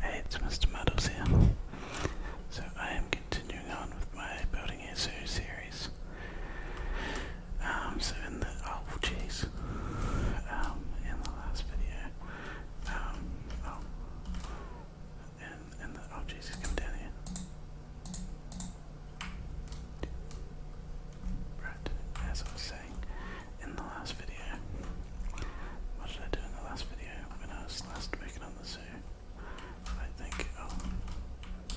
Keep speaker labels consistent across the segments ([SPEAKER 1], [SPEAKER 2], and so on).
[SPEAKER 1] Hey, it's Mr. Muddles here. So I am continuing on with my building a zoo series. Um, so in the oh jeez, um, in the last video, um, oh, the oh jeez, he's come down Right, as I was saying in the last video, what did I do in the last video when I was last week on the zoo? I think, oh,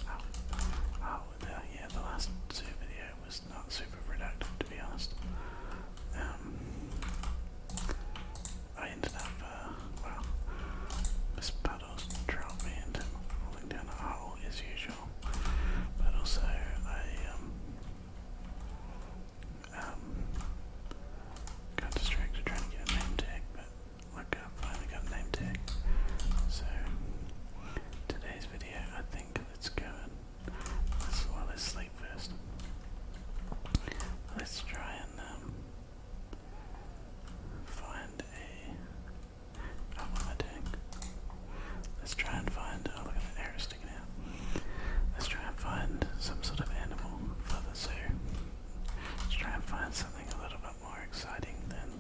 [SPEAKER 1] oh, oh yeah, the last zoo video was not super productive to be honest. Um, I ended up, uh, well, Miss Puddles drove me into falling down a hole as usual, but also I, um, um, got distracted trying to get a name tag, but look, I finally got a name tag. So, today's video, I think let's go let's, well, let first. Let's try and um, find a. Oh, what Let's try and find. Oh, look at the arrow stick music now. Let's try and find some sort of animal for the zoo. Let's try and find something a little bit more exciting than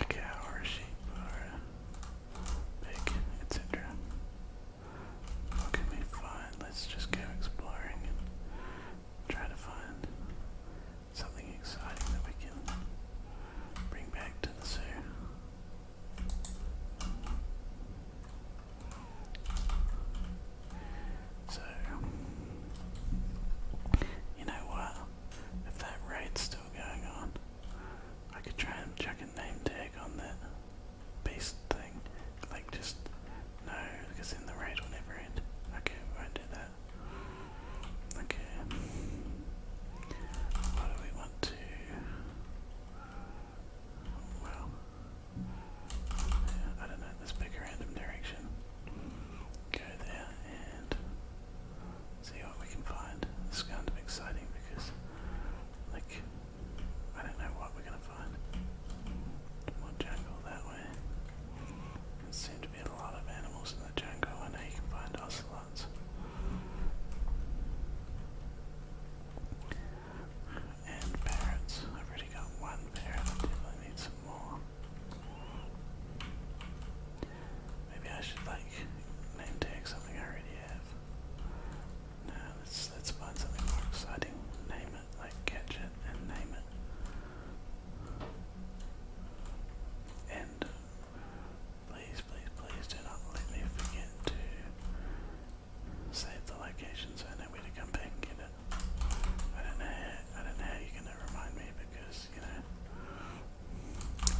[SPEAKER 1] a cow or a sheep or a pig, etc. What can we find? Let's just go exploring and try to find something exciting that we can bring back to the zoo. So, you know what? If that raid's still going on, I could try and chuck a name tag on that beast thing. Like, just no, because then the raid will never end. Okay, we won't do that. Okay. What do we want to. Well, I don't know. Let's pick a random direction. Go there and see what we can find. It's kind of exciting because, like, I don't know what we're gonna find. More jungle that way. There seem to be a lot of animals in the jungle. I know you can find ocelots. And parrots. I've already got one parrot. I definitely need some more. Maybe I should like name tag something I already have. No, let's let's find something more exciting. Name it, like catch it and name it. And please, please, please do not let me forget to Save the location so I know where to come back and get it. I don't know I don't know how you're gonna remind me because, you know,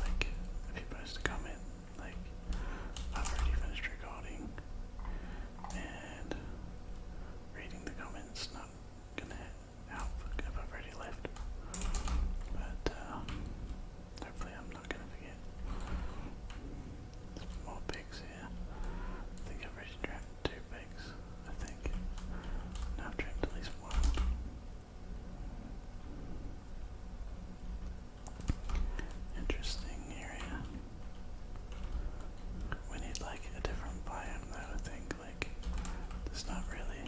[SPEAKER 1] like, if you post a comment, like, I've already finished recording and reading the comments not gonna I've already left. But, uh, hopefully I'm not gonna forget more pigs here. I think I've already trapped two pigs. I think. Now I've trapped at least one. Interesting area. We need like a different biome though, I think. Like, there's not really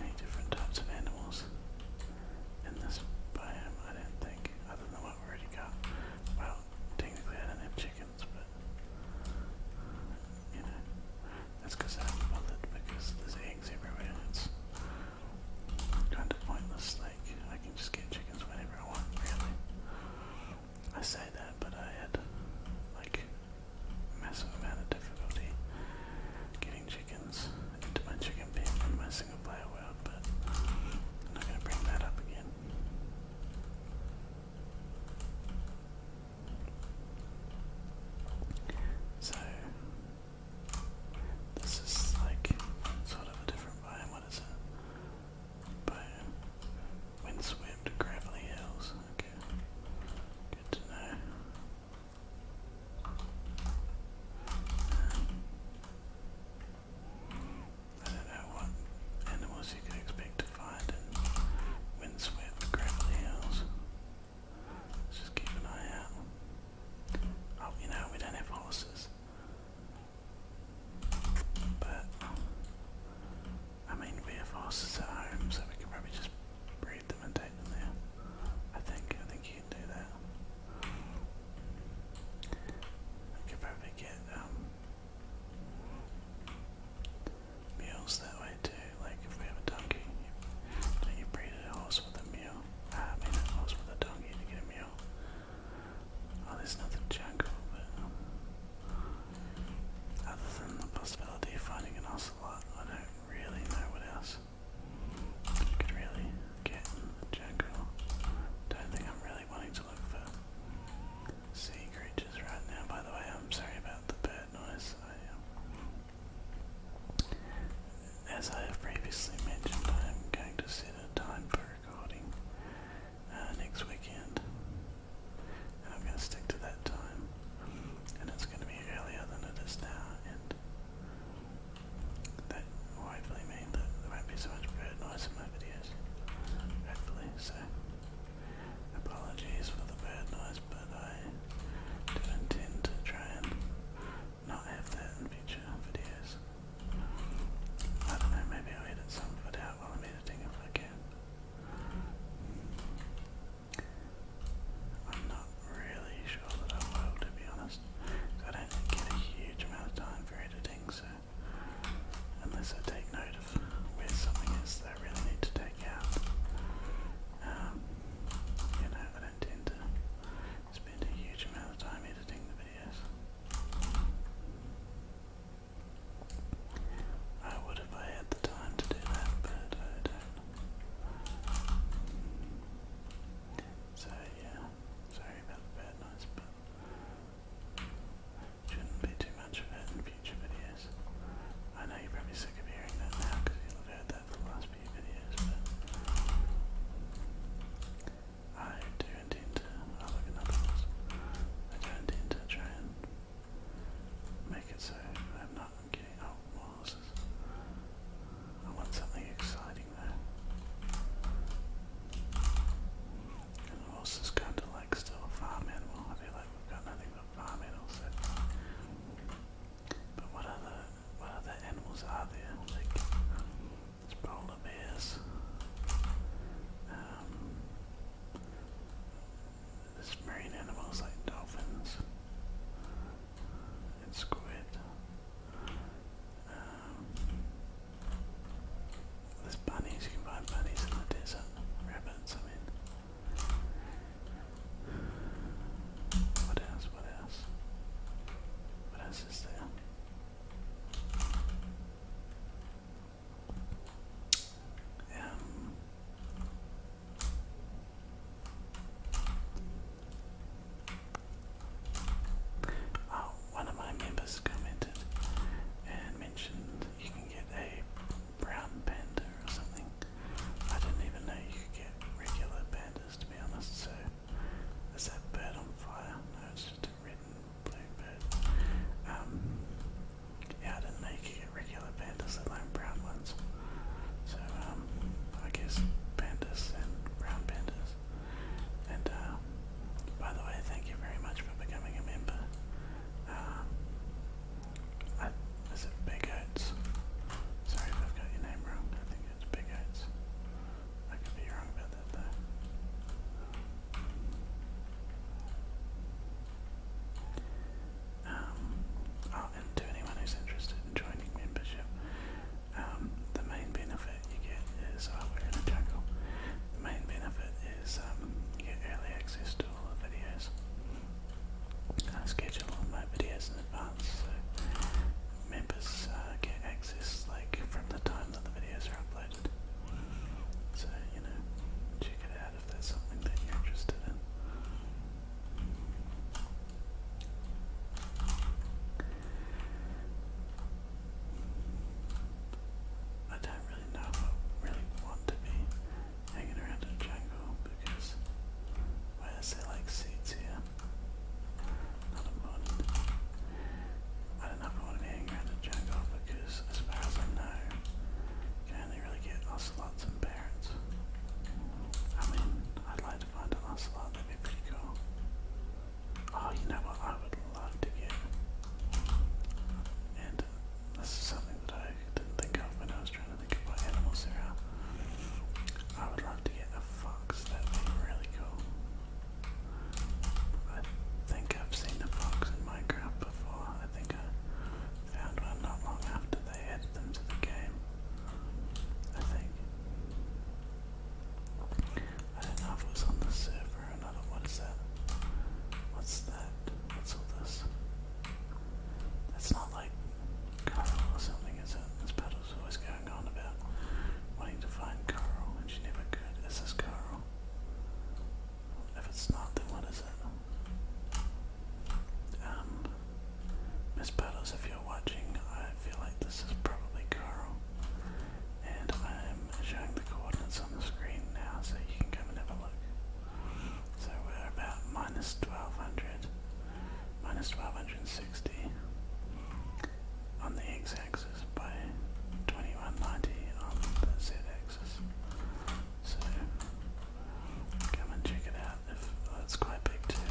[SPEAKER 1] any different types of animals in this biome, I don't think, other than what we already got. Well, technically I don't have chickens, but you know, that's because I haven't bothered because there's eggs everywhere. It's kind of pointless. Like I can just get chickens whenever I want. Really, I say that, but I had like a massive amount of difficulty getting chickens into my chicken pen in my single player world up, but I'm not gonna bring that up again. So this is like sort of a different biome, what is it? Biome. Windswept gravelly hills. Okay. Good to know. I don't know what animals you could expect to find in windswept gravelly hills. Let's just keep an eye out. Oh, you know, we don't have horses. But, I mean, we have horses at home, so we can probably just breed them and take them there. I think, I think you can do that. I could probably get, um, Mules that way too, like if we have a donkey, you, you breed a horse with a mule. I mean a horse with a donkey to get a mule. Oh, there's nothing jungle, but um, other than the possibility of finding an ocelot, I don't really know what else. Could really get jungle. Don't think I'm really really for sea creatures right now. By the way, I'm sorry about the bird noise. Um, as I have previously mentioned, I am going to set a time for recording uh, next weekend, I'm going to stick to that time. And it's going to be earlier than it is now, hopefully mean that there won't be so much bird noise in my videos. Hopefully, so apologies for the bird noise, but I do intend to try and not have that in future videos. I don't know, maybe i edit some of it out while I'm editing if I can. I'm not really sure that I will, to be honest. I don't get a huge amount of time for editing, so unless I take note of where something is that I really need to take out. Um, you know, I don't tend to spend a huge amount of time editing the videos. I would if I had the time to do that, but I don't. So yeah, sorry about the bad noise, but Shouldn't be too much of it in future videos. I know you're probably sick of hearing that now because you'll have heard that for the last few videos, but I do intend to, I'll look at numbers, I do intend to try and make it so I'm not getting, oh, more horses. I want something exciting there. And horses kind of like still a farm animal. I feel like we've got nothing but farm animals But what other what other animals are there? Like polar bears. Um there's marine animals like dolphins and squid. Um, there's bunnies, you can find bunnies in the desert. Rabbits, I mean. What else? What else? What else is there? Um, oh, one of my members commented and mentioned you can get a brown panda or something. I didn't even know you could get regular pandas to be honest, so is that bird on fire? No, it's just a red and blue bird. Um, yeah, I didn't know you could get regular pandas, let alone brown ones. So, um, I guess pandas and brown pandas. And uh, by the way, thank you very much for becoming a member. Um, I, Sorry if i got your name wrong. I think it's Big I could be wrong about that though. Um, oh, and to anyone who's interested in joining membership, um, the main benefit you get is, oh, we're The main benefit is um, get early access to all the videos. I schedule all my videos in advance so members uh, get access like from the time that the videos are uploaded. So, you know, check it out if there's something that you're interested in. I don't really know I really want to be hanging around in the because where is there like seeds here? Not a mod. I don't know if I want to be hanging around the jungle because as far as I know you can only really get ocelots and parrots. I mean, I'd like to find an ocelot, that'd be pretty cool. Oh, you know what I would love to get? And uh, this is something that I didn't think of when I was trying to think about animals here. I would love to get a fox, that'd be really cool. I think I've seen a fox in Minecraft before. I think I found one not long after they added them to the game. I think. I don't know if it was on the server for another. What is that? What's that? What's all this? That's not like Carl or something, is it? This battle's always going on about wanting to find Carl, and she never could. Is this Carl? If it's not, then what is it? Um, Miss Battles, if you're watching, I feel like this is probably Carl and I'm showing the coordinates on the screen now so you can come and have a look. So we're about minus 1200, minus 1260 on the x-axis by 2190 on the z-axis. So come and check it out if oh, quite big too.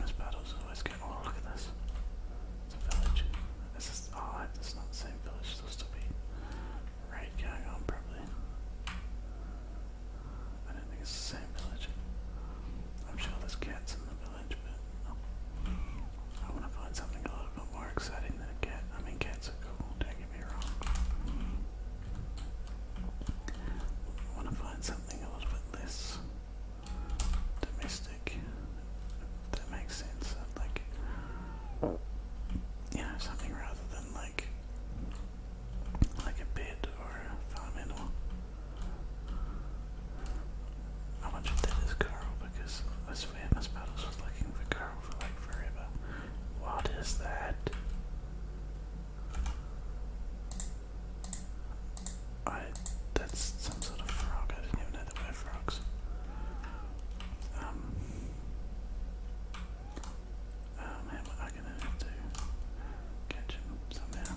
[SPEAKER 1] This battle's always getting oh look at this. It's a village. This is all It's not the same village. there still be right going on probably. I think it's the same village. I'm sure there's cats in the village, but I want to find something a little bit more exciting than a cat. I mean, cats are cool. Don't get me wrong. I want to find something a little bit less domestic. That makes sense. Like, you know, something rather than like, like a bed or a farm animal. I wonder that is coral because I swear Miss Puddles looking for coral for like forever. What is that? I that's some sort of frog. I didn't even know there were frogs. Um, um how am I gonna have catch him somehow?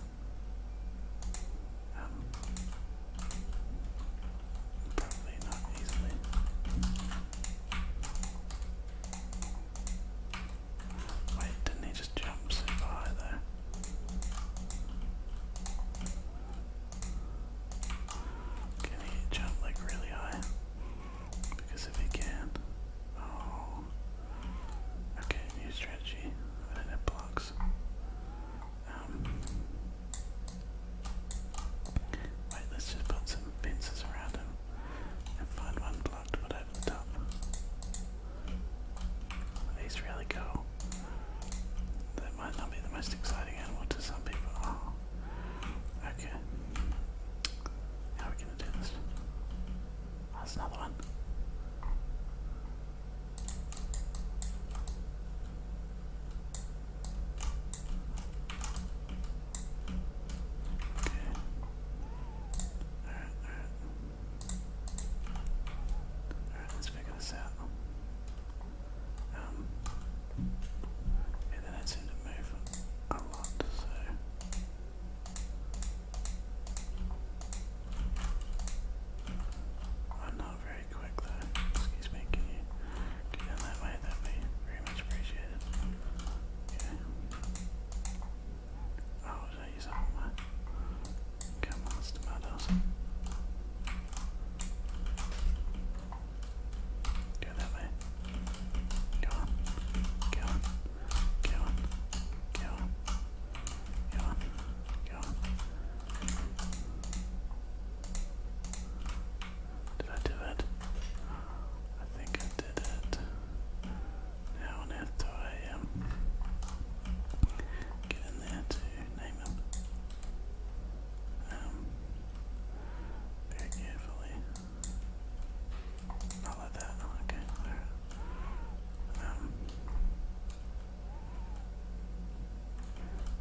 [SPEAKER 1] Um probably not easily. Wait, didn't he just jump super high there? Can he jump like really high? Because if he can, oh, okay, new strategy. I didn't blocks. Um, wait, let's just put some fences around him and find one block to over the top. He's really cool. That might not be the most exciting animal to some people. Oh. Okay. How are we gonna do this? Oh, that's another one. All right, all right. All right, let's figure this out. Um, and then that seemed to move a lot, so. I'm oh, not very quick though. Excuse me, can you get that way? That'd be very much appreciated. Oh, did I use up Come on, tomatoes. Go that way. Go on. Go on. Go on. Go on. Go on. Go on. Did I do it? I think I did it. Now on earth I get in there to name him? um, very carefully. Not like that. Okay. Um,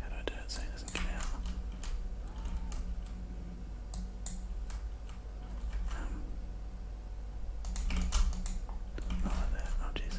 [SPEAKER 1] how do I do it so he doesn't get out? Um, not like that. Oh jeez.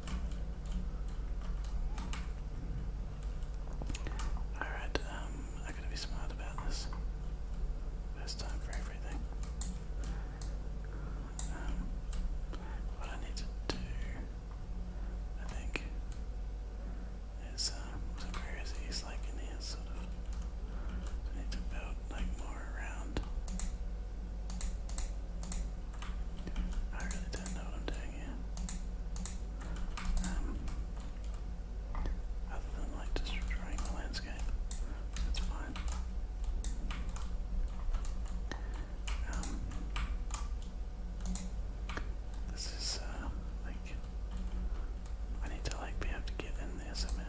[SPEAKER 1] Alright, um, I gotta be smart about this. First time for everything. Um, what I need to do, I think, is, um, so where is he's like in here, sort of. I need to build, like, more around. I really don't know what I'm doing here. Um, other than like destroying the landscape, that's fine. Um, this is uh, like I need to like be able to get in there somehow.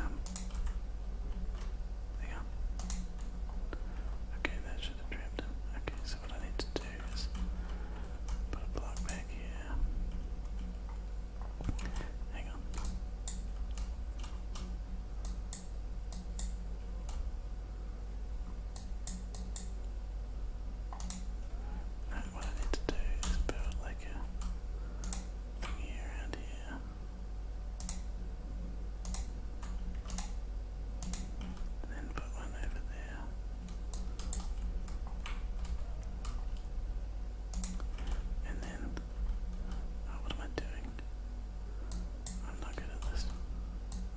[SPEAKER 1] Um, hang Okay, that should have trapped him. Okay, so what I need to do is put a block back here. Hang on. what I need to do is build like a Looking around here. Then put one over there. And then, oh, what am I doing? I'm not good at this.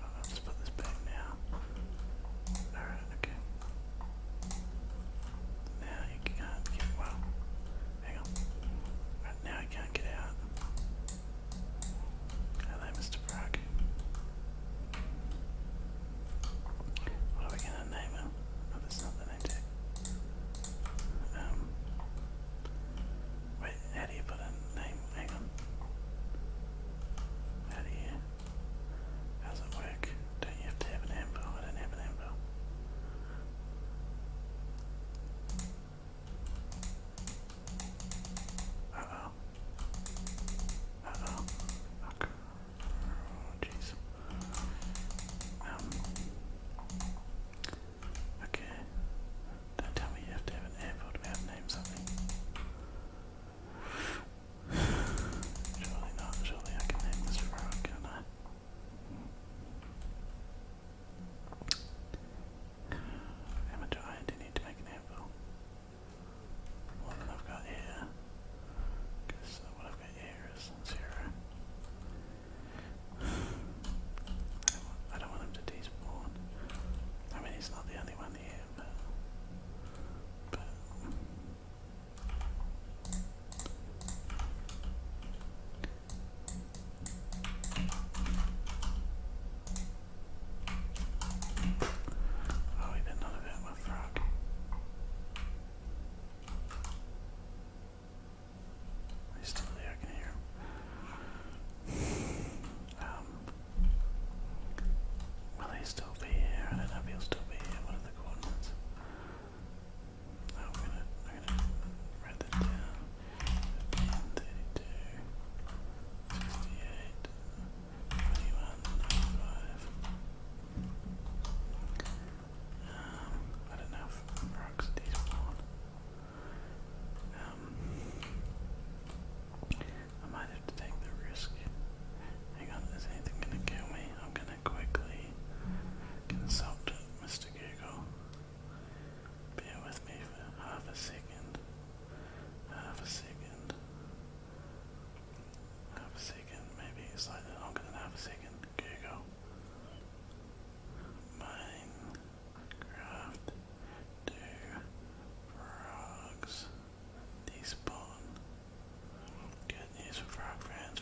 [SPEAKER 1] I'll just put this back now. Alright, okay. Now you can't get well. Hang on. Right now I can't get out. Hello, Mr. Brock. What are we gonna name him? Oh, that's not the Um. Wait, how do you put a name? Hang on. How do you? How does it work? do you have to have an handbill? I don't have an handbill. Uh oh. oh. Fuck. jeez. Um, okay. Don't tell me you have to have an airport without name something. Surely not. Surely I can name this frog, can I? How much iron do need to make an anvil? More than i got here. Uh, because what I've got here is zero. I don't, want, I to despawn. I mean, he's not the only one here, but Oh, we did none of that with rock. He's still there, I Um, will he still be here? I don't know if he still be here, one of the coordinates. Oh, we gonna, write that down. 15, 32, 21, 95. not know if Rocksteady's Um, I might have to take the risk. Hang on, is anything gonna kill me? I'm gonna quickly consult Mr. Google. Bear with me for half a second. Half a second. Half a second, maybe slightly longer than half a second. Google. Minecraft. Do frogs despawn? Good news for frog fans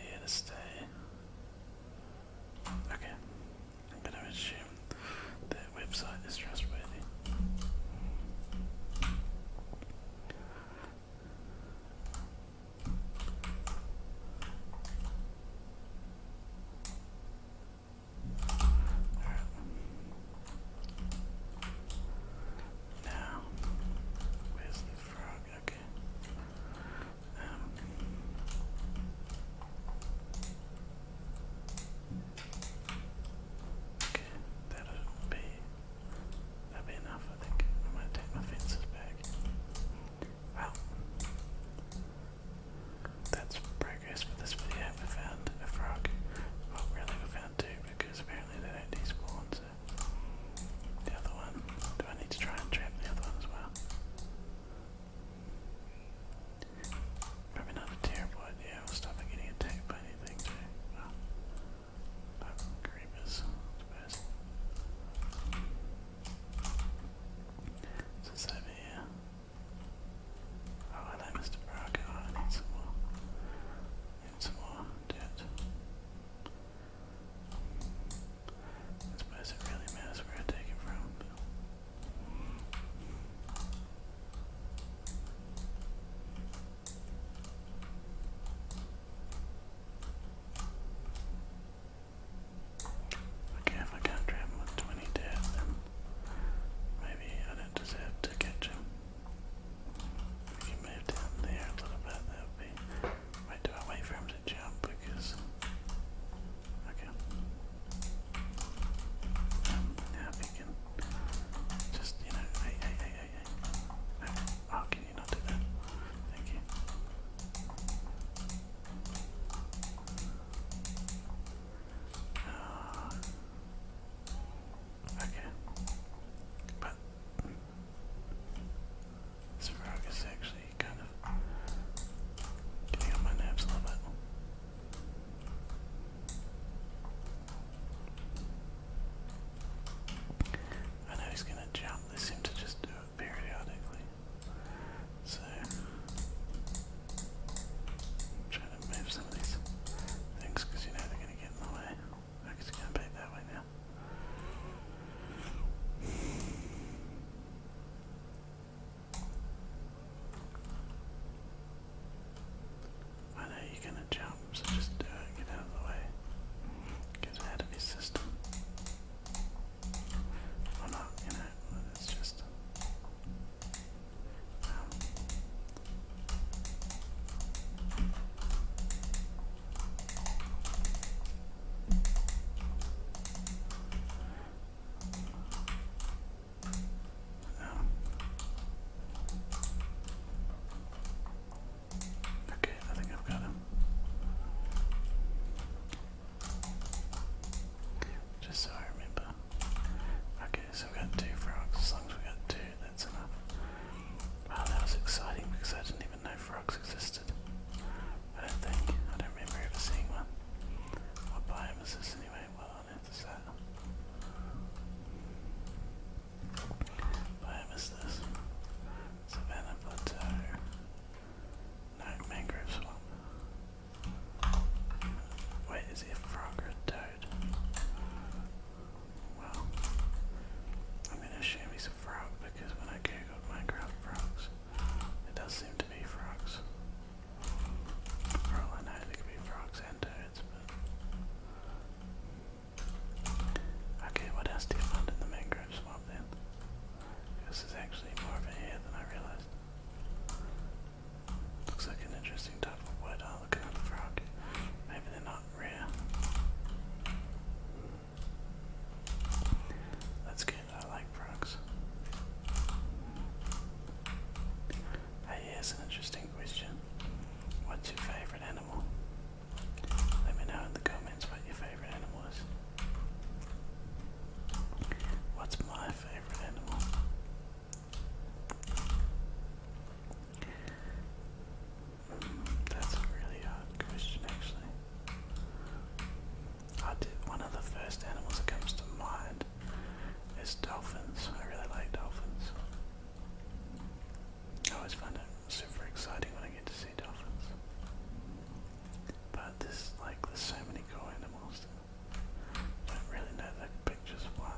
[SPEAKER 1] here to stay. Okay, I'm gonna assume the website is trustworthy. All right. Now, where's the frog? Okay. Um, okay, that'll be that'll be enough. I think I'm take my fences back. Well, that's progress for this video. We found a frog. Well, really, we found two because apparently they don't the other one. Do I need to try and trap the other one as well? Probably not a terrible idea. We'll stop getting attacked by anything too. Well, creepers, I suppose. So it's over here. Oh, hello, Mr. Baraka. Oh, more. I more dirt. I suppose it really matters where I take it from. Okay, if I can't grab him with maybe I don't deserve to catch him. We can move down there a little bit, that would be Wait, do I wait for him to jump? Because. Okay. Um, now if you can. Just, you know. Hey, hey, hey, hey, hey. Oh, can you not do that? Thank you. Uh, okay. But. This frog is actually kind of getting on my nerves a little bit. I know he's gonna jump, they seem to just do it periodically. So trying to move some of these things because you know they're gonna get in the way. I guess not know you're gonna jump, so just do uh, it, get out of the way. Get out of your system. Or not, you know, it's just... Um, Okay, I think I've got him. Just so I remember. Okay, so we've got two frogs. As long as we've got two, that's enough. Wow, that was exciting because I didn't even know frogs existed. I don't think. I don't remember ever seeing one. What biome is this anyway? Well, on earth that? Biome is this? Savannah but No, mangrove swamp. Wait, is he a frog or a toad? Well, I'm gonna assume he's a frog, because when I googled Minecraft frogs, it does seem to be frogs. all I know, they could be frogs and toads, Okay, what else do you find in the mangrove swamp then? This is actually more of a hair than I realized. Looks like an interesting type of wood. Oh, look at the frog. Maybe they're not rare. That's good. I like frogs. Hey, here's an interesting question. What's your favorite animal? Let me know in the comments what your favorite animal is. What's my favorite animal? That's a really hard question, actually. I did, one of the first animals that comes to mind is dolphins. I really like dolphins. I always find it super exciting when I get to see dolphins. But there's like there's so many cool animals don't really know the pictures of one.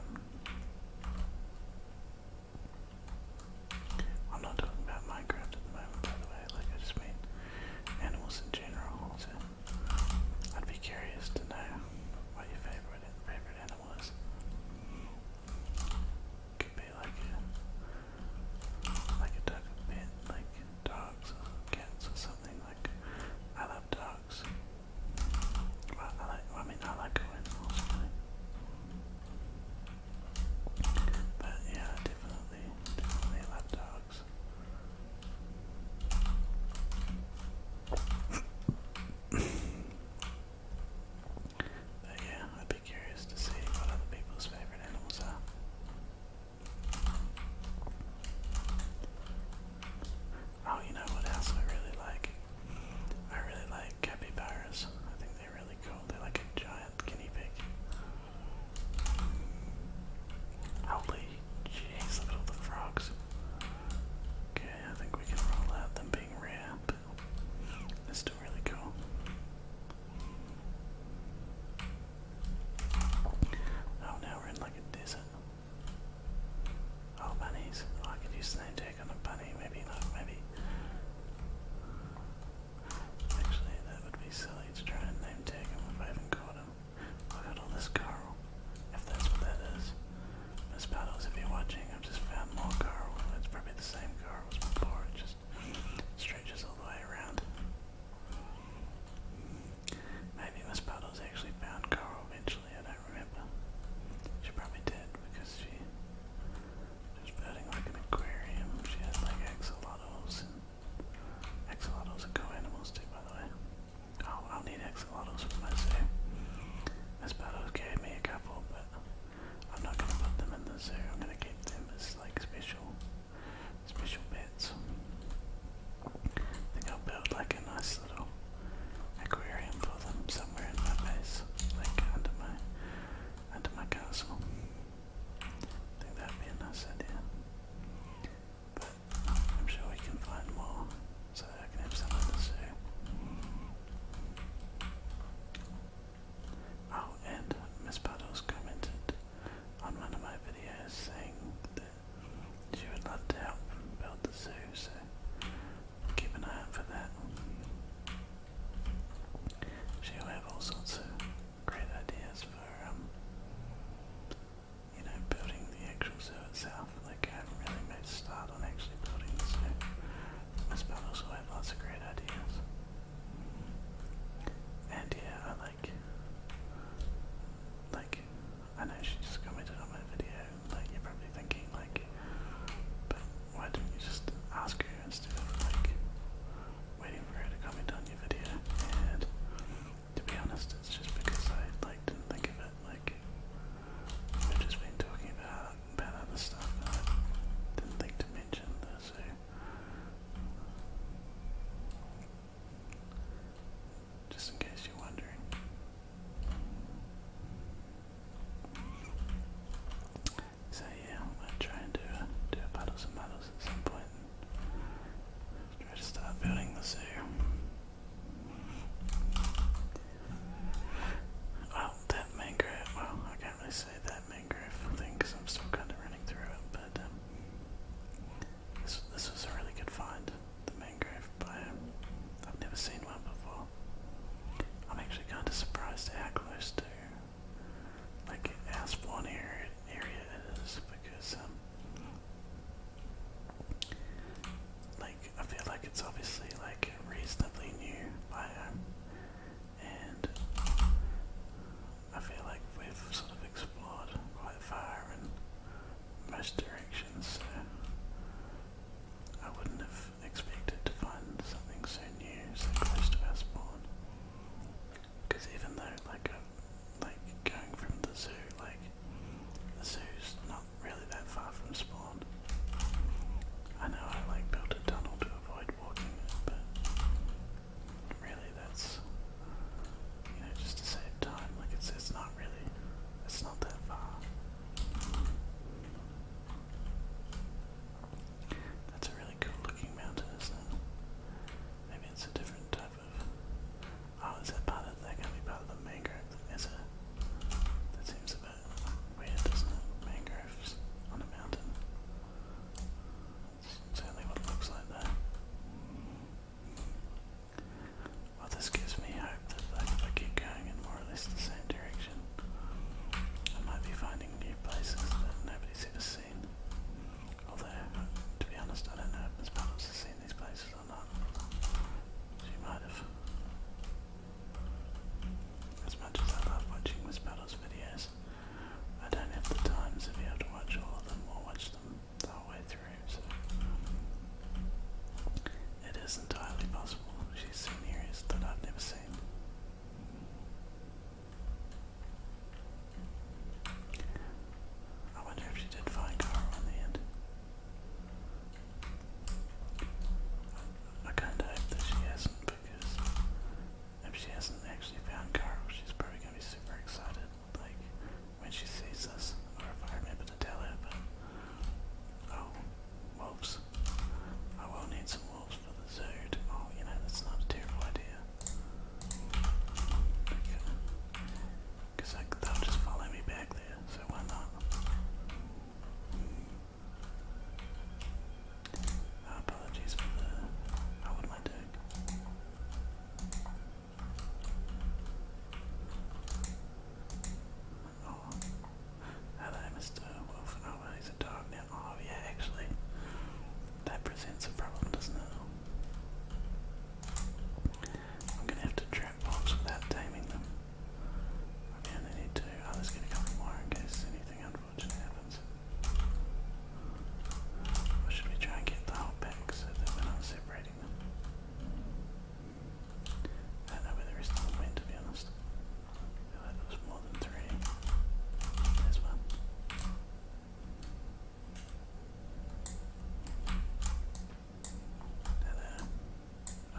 [SPEAKER 1] I'm not talking about Minecraft at the moment, by the way. Like, I just mean animals in general. So, I'd be curious to know what your favorite favorite animal is. Could be like a like a duck a like dogs or cats or something. Like, I love dogs. Well, I like. I mean, I like all animals. Really. But yeah, definitely, definitely lapdogs. but yeah, I'd be curious to see what other people's favorite animals are. Oh, you know what else I really like? I really like capybaras. They're really cool. They're like a giant guinea pig. Holy jeez, look at all the frogs. Okay, I think we can roll out them being rare, but they really cool. Oh, now we're in like a desert. Oh, bunnies. Oh, I could use an attack on a bunny. Maybe not, maybe. Actually, that would be silly to try and name tag him if I haven't caught him. Look at all this Carl, if that's what that is. Miss Paddles, if you're watching, I've just found more Carl. It's probably the same Carl as before, it just stretches all the way around. Maybe Miss Puddles actually found Coral eventually, I don't remember. She probably did because she She's building like an aquarium. She has like axolotls axolotls are co-animals too, by the way. Oh, I'll need axolotls for my zoo. Miss Battles gave me a couple, but I'm not gonna put them in the zoo. I'm gonna keep them as like special, special pets. I think I'll build like a nice little aquarium for them somewhere in my base, like under my under my castle. I think that'd be a nice idea. But I'm sure we can find more so I can have some at the Oh, and Miss Puddles commented on one of my videos saying that she would love to help build the zoo, so keep an eye out for that. She'll have all sorts of great ideas for, um, you know, building the actual zoo itself. Like, I haven't really made a start on actually building the zoo. Miss Puddles had lots of great ideas. And yeah, I like, like, I know she just commented on my video, like, you're probably thinking, like, but why didn't you just ask her instead of, like, waiting for her to comment on your video, and to be honest, it's just because I like didn't think of it. Like we've just talking about about other stuff, didn't think to mention this. Just in case you're wondering. So yeah, I'm gonna try and do a, do a battles and battles at some point. And try to start building the zoo. Well, that mangrove, well, I can't really say that mangrove thing because I'm still kind of running through it, but um, this, this was a really good find, the mangrove biome. I've never seen one before. I'm actually kind of surprised how close to like as one area area it is because um like I feel like it's obviously like reasonably new biome um, and I feel like we've sort of explored quite far in most directions so I wouldn't have expected to find something so new so close to our spawn. Because even though, like, I'm, like going from the zoo, like, the zoo's not really that far from spawn. I know I like built a tunnel to avoid walking, but really that's you know just to save time. Like it's it's not really it's not that far. That's a really cool looking mountain, isn't it? Maybe it's a different type of. Oh, is that part of that? going to be part of the mangrove? Is it? That seems a bit weird, doesn't it? Mangroves on a mountain. That's certainly what it looks like there. Well, this gives me hope that like, if I keep going in more or less the same direction, I might be finding new places that nobody's ever seen. Although, to be honest, I don't know if Miss Palance has seen these places or not. She might have. As much as I love watching Miss Palance videos, I don't have the time to be able to watch all of them or watch them the way through, so it is entirely possible she's seen areas that I've never seen. I wonder if she did find Carl in the end. I kinda hope that she hasn't because if she hasn't actually found Carl, she's probably gonna be super excited, like when she sees us, or if I remember to tell her, oh, wolves. I will need some wolves for the zoo. Oh, you know, that's not a terrible idea. Because like, they'll just follow me back there, so why not? Ah, apologies for the. Oh, what am I Oh, hello, Mr. Wolf. Oh, he's a dog now. Oh, yeah, actually. That presents a problem, doesn't it? I'm gonna have to trap mobs without taming them. Okay, I only need two. Oh, there's gonna come more in case anything unfortunate happens. Or should we try and get the whole pack so that we're not separating them? I know where the rest of to be honest. I like there more than three. There's one. Hello. Oh.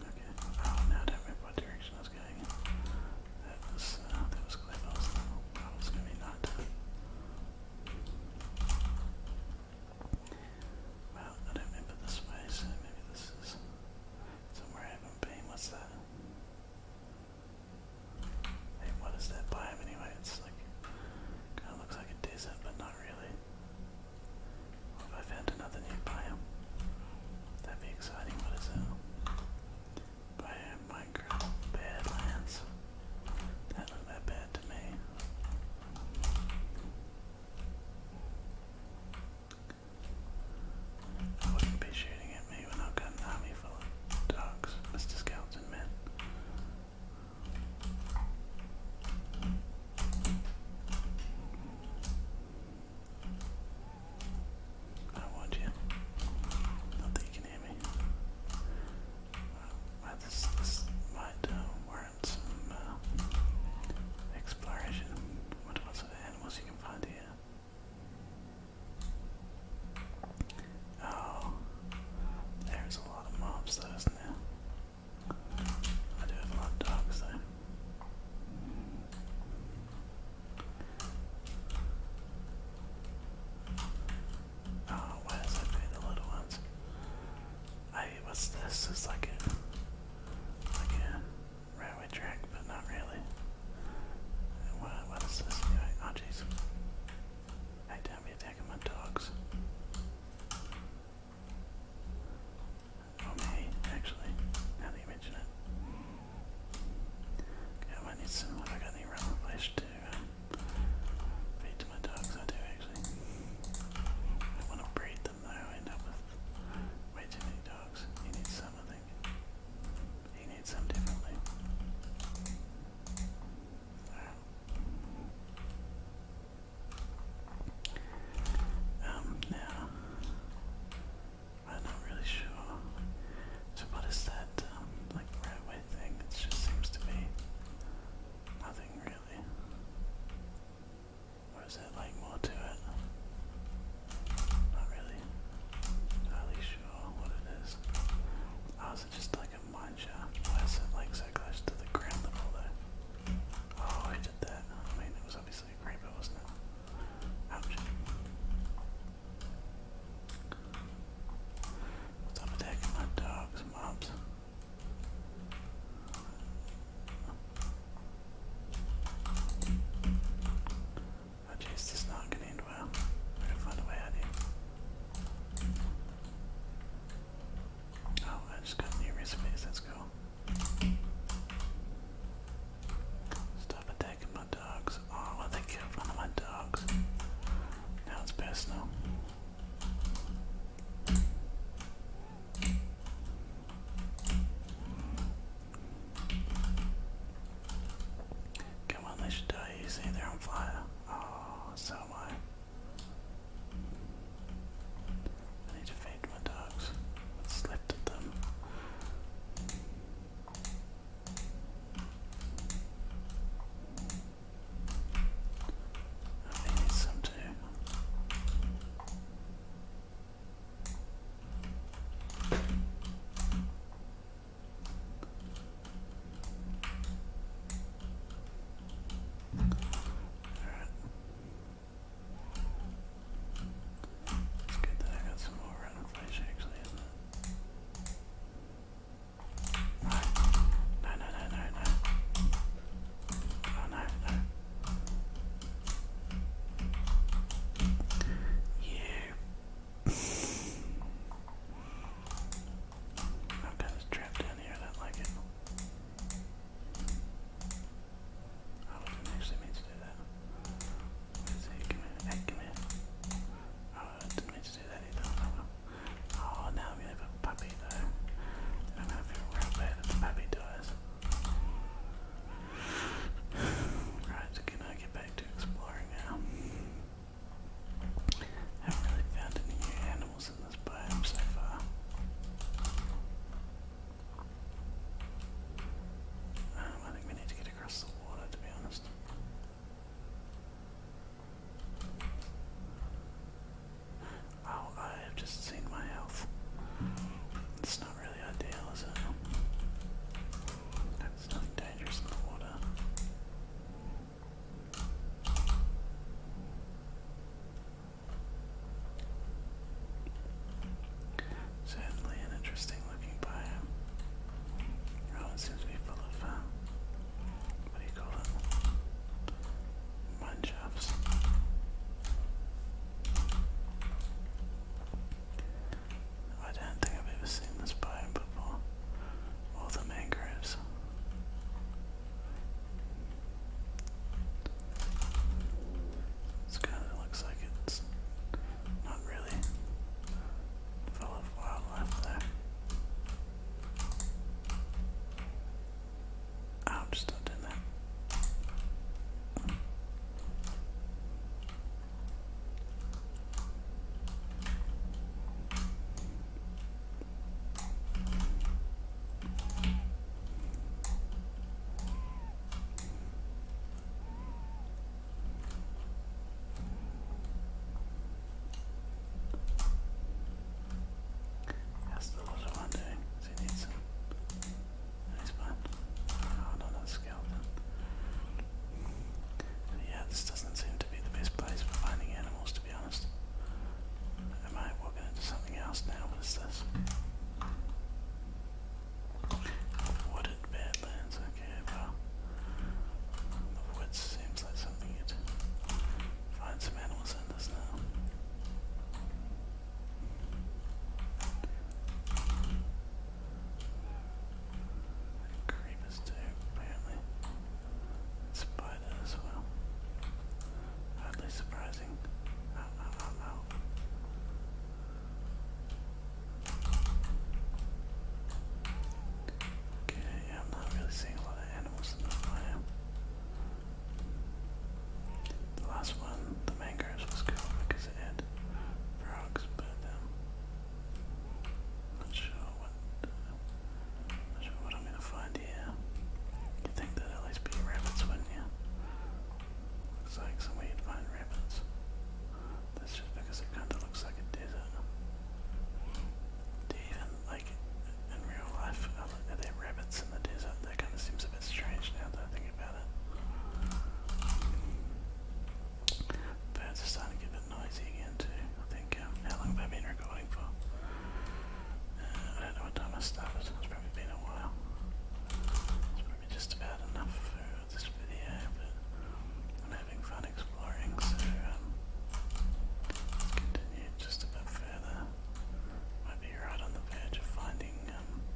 [SPEAKER 1] Okay. Oh, now I don't remember what direction I was going. That was, that was clever. I was, I was going to be not. I don't remember this way, maybe this is somewhere I haven't been. What's that? Hey, what is that biome anyway? It's like, kind of looks like a desert, but not really. What I found another new biome? That'd be exciting. What is it? Biome Minecraft Badlands. That looked that bad to me. I wouldn't be shooting at me when I've got an army full of dogs, Mr. Skeleton Man. I warned you. Not can hear me. this, might uh, work some uh, exploration. What lots of animals you can find here. Oh, there's a lot of mobs there? I do have a lot of dogs though. Oh, ah, where's that be the little ones? Hey, what's this? It's like a like railway track, but not really. What, what's this guy? Oh, jeez. I don't be attacking my dogs. Oh, me, actually, now that you mention it. Okay, I might need some, I got any railway flesh to um, feed to my dogs, I do actually. I want to breed them end up with way too many dogs. He needs something. I think. He needs Um, now, I'm not really sure. So what is that, um, like, railway thing? It just seems to be nothing really. Or is that like more to it? Not really. Not really sure what it is. Oh, it just like a mine Why is it like so close to the ground level though? Oh, who did that? I mean, it was obviously a creeper, wasn't it? Ouch. Stop attacking my dogs, mobs. Oh jeez, this is not gonna end well. We're to find a way out here. Oh, I just got new recipes, that's cool. Stop attacking my dogs. Oh, well, they killed one my dogs. Now it's personal. Come on, they should die easy. They're on fire. Oh, so am I. I need to feed my dogs. What's left of them? I need some too. It's good that I got some more rotten flesh actually, isn't it? No, no, no, no, no. Oh, no, no. Yeah. I've got this trap down here, I don't like it. I oh, wasn't actually meant to do that. Let's see, come here, oh, I didn't mean to do that either. Oh, now i have a puppy though. I'm gonna real bad puppy dies. Right, can I get back to exploring now? haven't really found any new animals in this biome so far. Um, I think we need to get across the water to be honest. Oh, I have just seen my health really ideal, is it? That's nothing dangerous in the water. Certainly an interesting looking biome. Oh, it seems to be full of, um, what do you call it? Mine I don't think I've ever seen this biome before. All the mangroves. It's kind of looks like it's not really full of wildlife there. Ouch, don't do that. How's the other one does he Oh, no, no, skeleton. Yeah, this doesn't seem to be the best place for finding animals, to be honest. Am I walking into something else now? What is this? Wooded Badlands, okay, well. The woods seems like something find some animals in, doesn't Creepers too, apparently. spider as well. Hardly surprising. Okay, I'm not really seeing a lot of animals in this biome. The last one, the mangroves, was cool because it had frogs, but um, not sure what not sure what I'm gonna find here. you think there at least be rabbits, wouldn't you? Looks like somewhere you find rabbits. That's just because it kinda looks like a desert. Do even like in real life are there rabbits in the desert? That kinda seems a bit strange now that I think about Birds are starting to get a bit noisy again too. I think, um, how long have I been recording for? Uh, I don't know what time I started, it's probably been a while. It's probably just about enough for this video, but I'm having fun exploring, so um, let continue just a bit further. Might be right on the verge of finding something.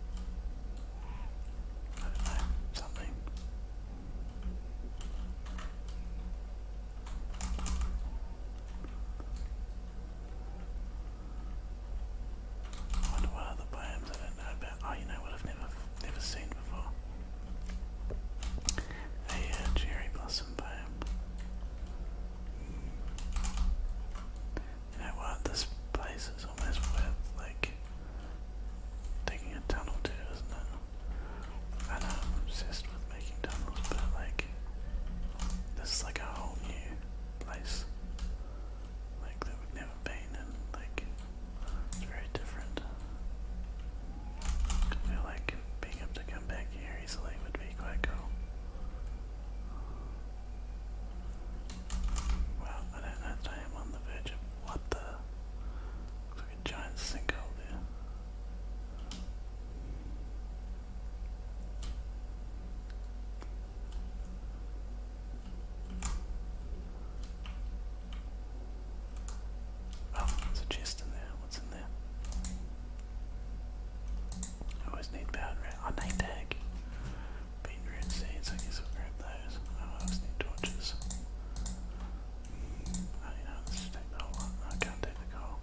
[SPEAKER 1] I wonder what other I don't know about. Oh, you know what I've never, never seen before? A cherry blossom poem. You know This place is almost worth like digging a tunnel to, isn't it? I know I'm obsessed making tunnels, but like this is like a whole new place, like that we've never been in. Like it's very different. I feel like being able to come back here easily would be quite cool. Well, I don't know I am on the verge of what the looks like a giant sinkhole there. Oh, there's a chest in there. What's in there? I always need powder. I need tag. Bean root seeds, I guess I'll grab those. Oh, I always need torches. you know, let's take the whole lot. I can't take the coal.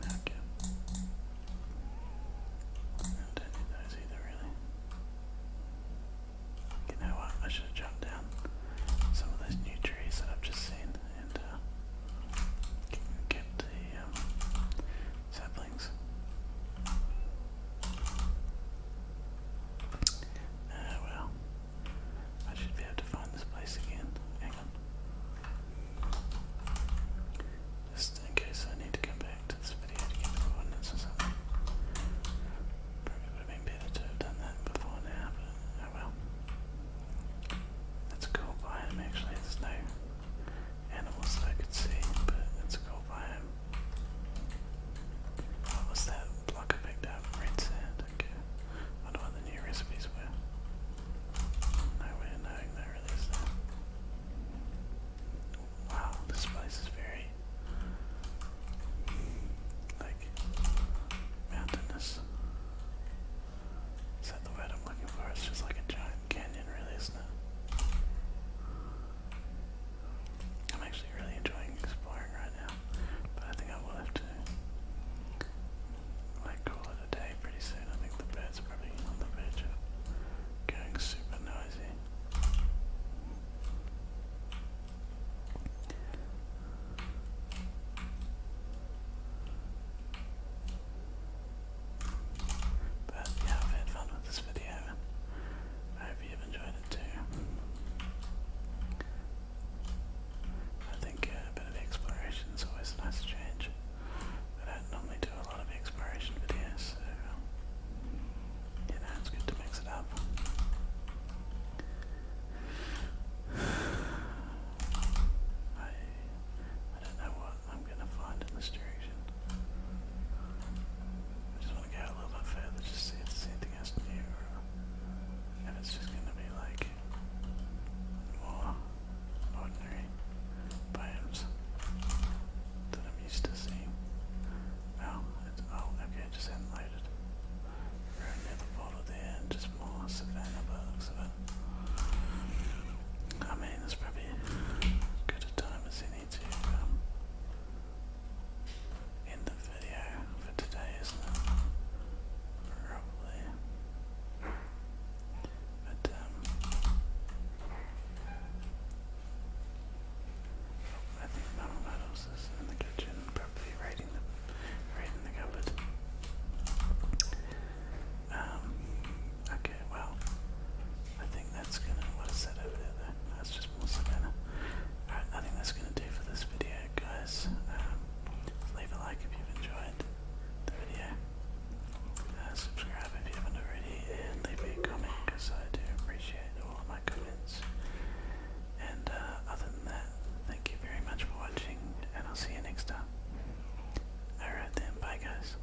[SPEAKER 1] Okay. I not need those either, really. You know what? I should have jumped down some of those new trees that I've just seen and uh, the um, Saplings. Ah, well. I should be able to find this place again. Hang on. Just in case I need to come back to this video to get the coordinates or something. Probably would have been better to have done that before now, but oh well. That's a By biome actually, it's new animals I could see, but it's a cool biome. What was that block I picked up? Red sand, okay. I wonder what the new recipes were. No way is that. Wow, this place is very like mountainous. Is that the word I'm looking for? It's just like a giant Canyon release now. I'm actually really enjoying exploring right now, but I think I will have to like call it a day pretty soon. I think the birds are probably on the verge of going super noisy. But yeah, I've had fun with this video. I hope you've enjoyed it too. I think uh, a bit of exploration is always a nice change. I don't normally do a lot of exploration videos, so um, it's good to mix it up. I, I don't know what I'm I'm gonna find in this I just wanna go a little bit further, just see if there's anything else new, or if it's just gonna be like more ordinary poems that I'm used to seeing. Oh, it's, oh, okay, just hadn't loaded. another bottle there, just more savannah by looks of it. I mean, it's probably good time as any I need um, the video for today, isn't it? Probably. But um, I think Mum Muddles is in the kitchen, probably raiding the raiding the cupboard. Um, I well, I think that's gonna. What is that over there? Though? just more savannah. Alright, I think that's gonna do for this video, guys. Um, leave a like if you've enjoyed the video. Uh, subscribe if you haven't already, and leave me a comment because I do appreciate all of my comments. And uh, other than that, thank you very much for watching, and I'll see you next time. Alright then, bye guys.